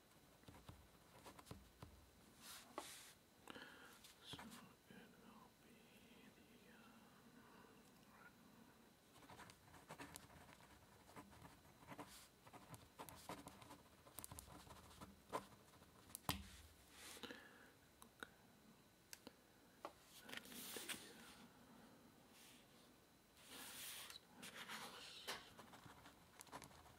So it will be the. Um, okay. And the, uh,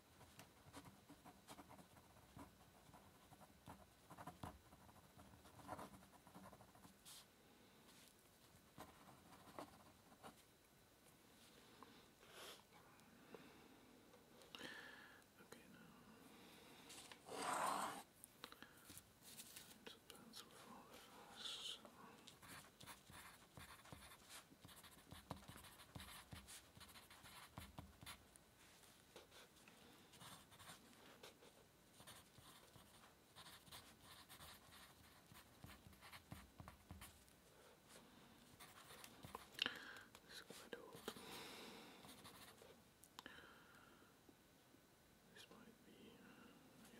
Okay, now to pencil for the first. Okay. It's quite old. This might be, uh, yeah.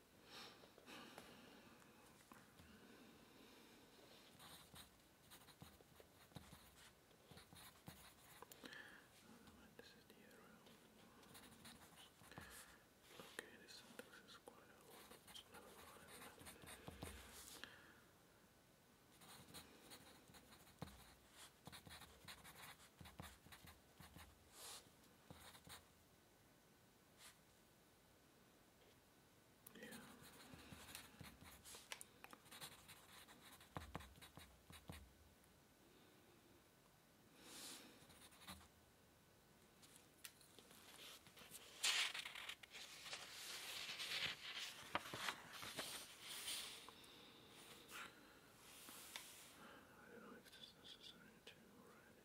This is the area. Okay, this sentence is quite a lot. So never mind. Okay. Yeah. I don't know if this is necessary already.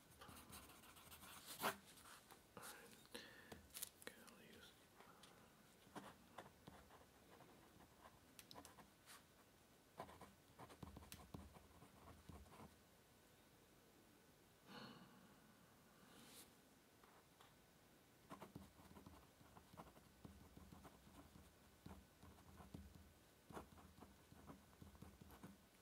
up. Alright. Okay, I'll use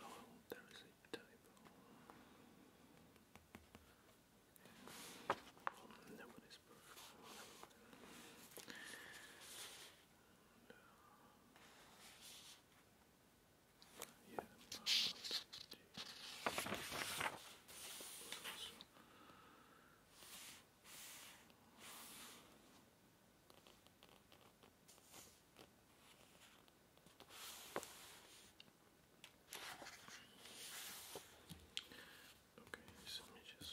Oh, there is a typo. Well, that one is perfect. And, uh, yeah, Okay, so let me just.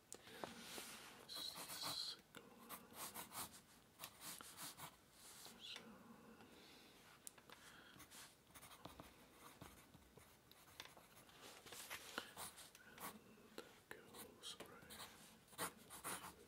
This is the second one. So and that goes right into Right.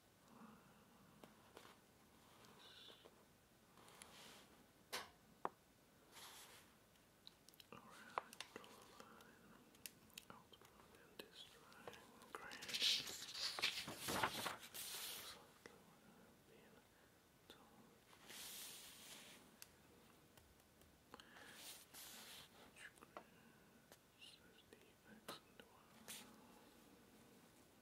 Alright, draw a line out and this triangle. Great. Slightly where I've So the and y.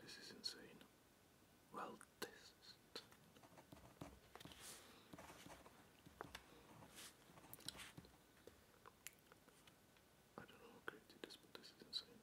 This is insane. Well, this I don't know how crazy this, but this is insane.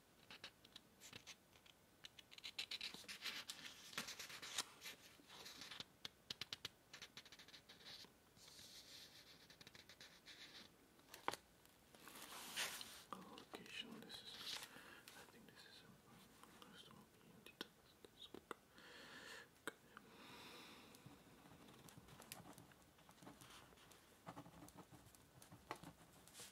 Location. This is. I think this is a customer being detected. Okay. Okay.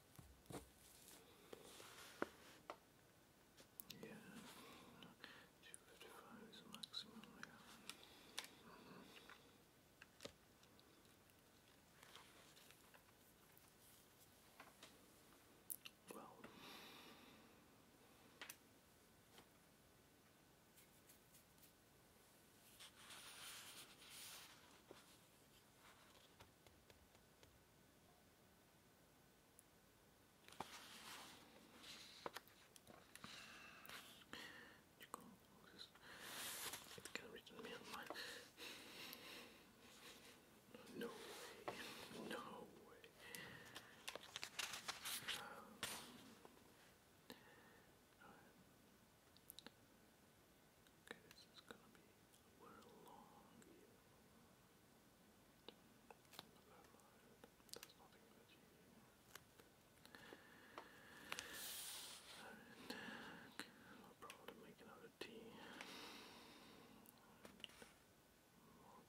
Yeah, 255 is the maximum, yeah. Mm -hmm. Well, it's gonna reach me on mine. No way. No way. Um, Okay, this is gonna be we're long here. That's nothing but you. Alright, okay, no problem make another tea. More caffeine.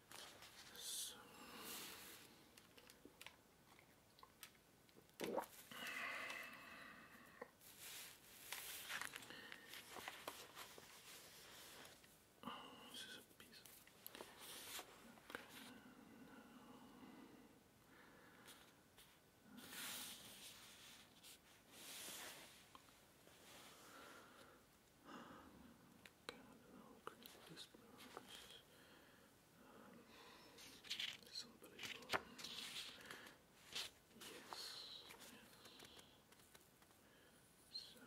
So. Oh, this is a piece. Okay. Cardinal Christmas. Um, it's unbelievable. Yes, yes. So. Yes.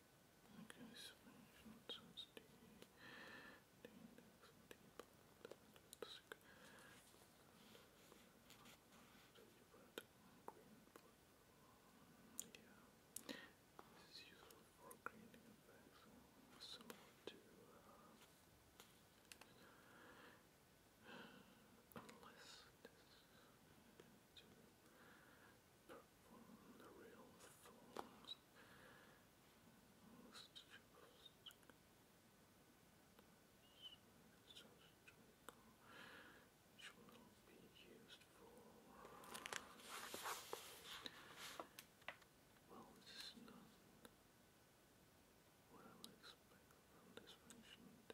Okay, subvention, so it's D, D index, D part, that's good. So you put green part, yeah. This is useful for creating effects, similar to, uh, Unless this perform the real forms. Most just which will be used for well this is not what I would expect from this function to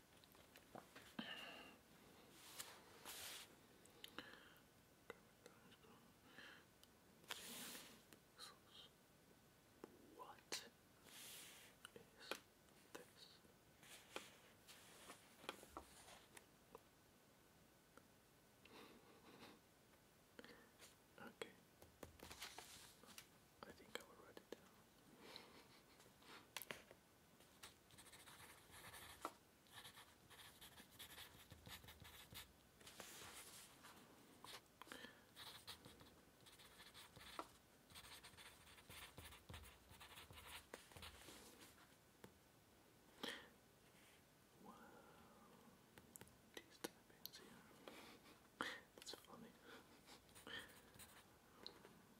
What is this? okay. I think I will write it down. Wow, these tappings That's funny.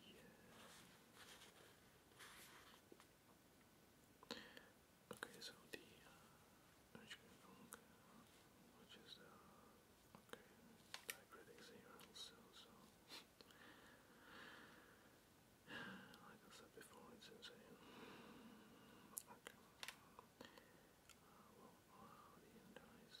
Yeah. Okay, so uh, the which is uh, okay, like I said before, it's Okay. Uh, well, the end dies,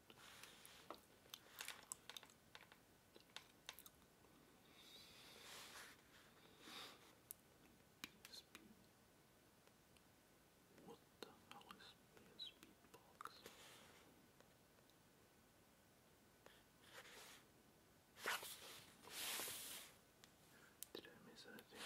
PSP. What the hell is PSP box? Did I miss anything?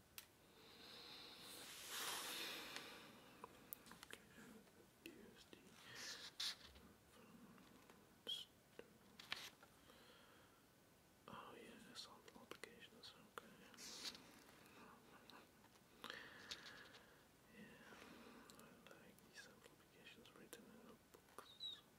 Oh yeah, I saw the applications, okay. Yeah, I like these applications written in the books.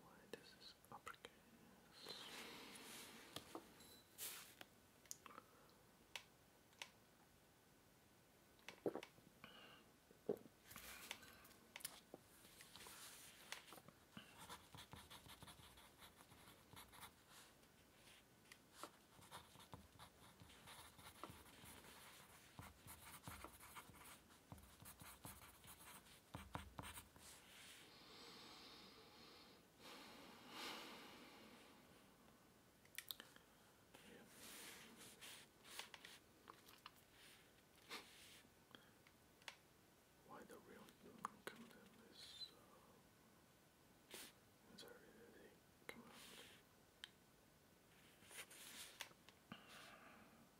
Why this is why the real human kingdom is uh, is already come out.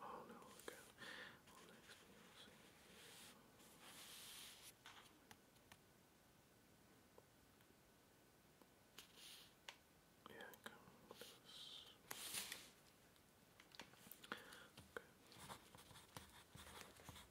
Oh no, look out. Well, next we'll see. Yeah, come with us. Okay.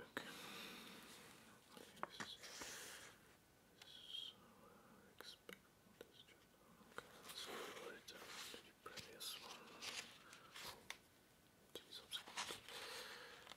Okay. This is, this is uh, expect this job. Okay, let's go right down to the previous one. To the subsequent.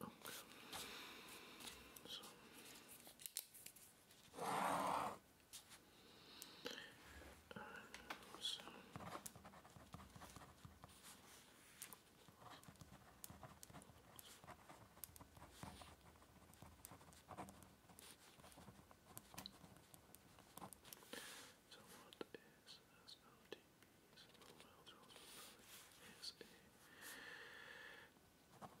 So. Uh, so. So mobile transfer is a Change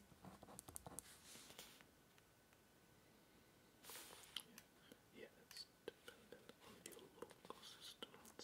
Yeah, it's dependent on your local system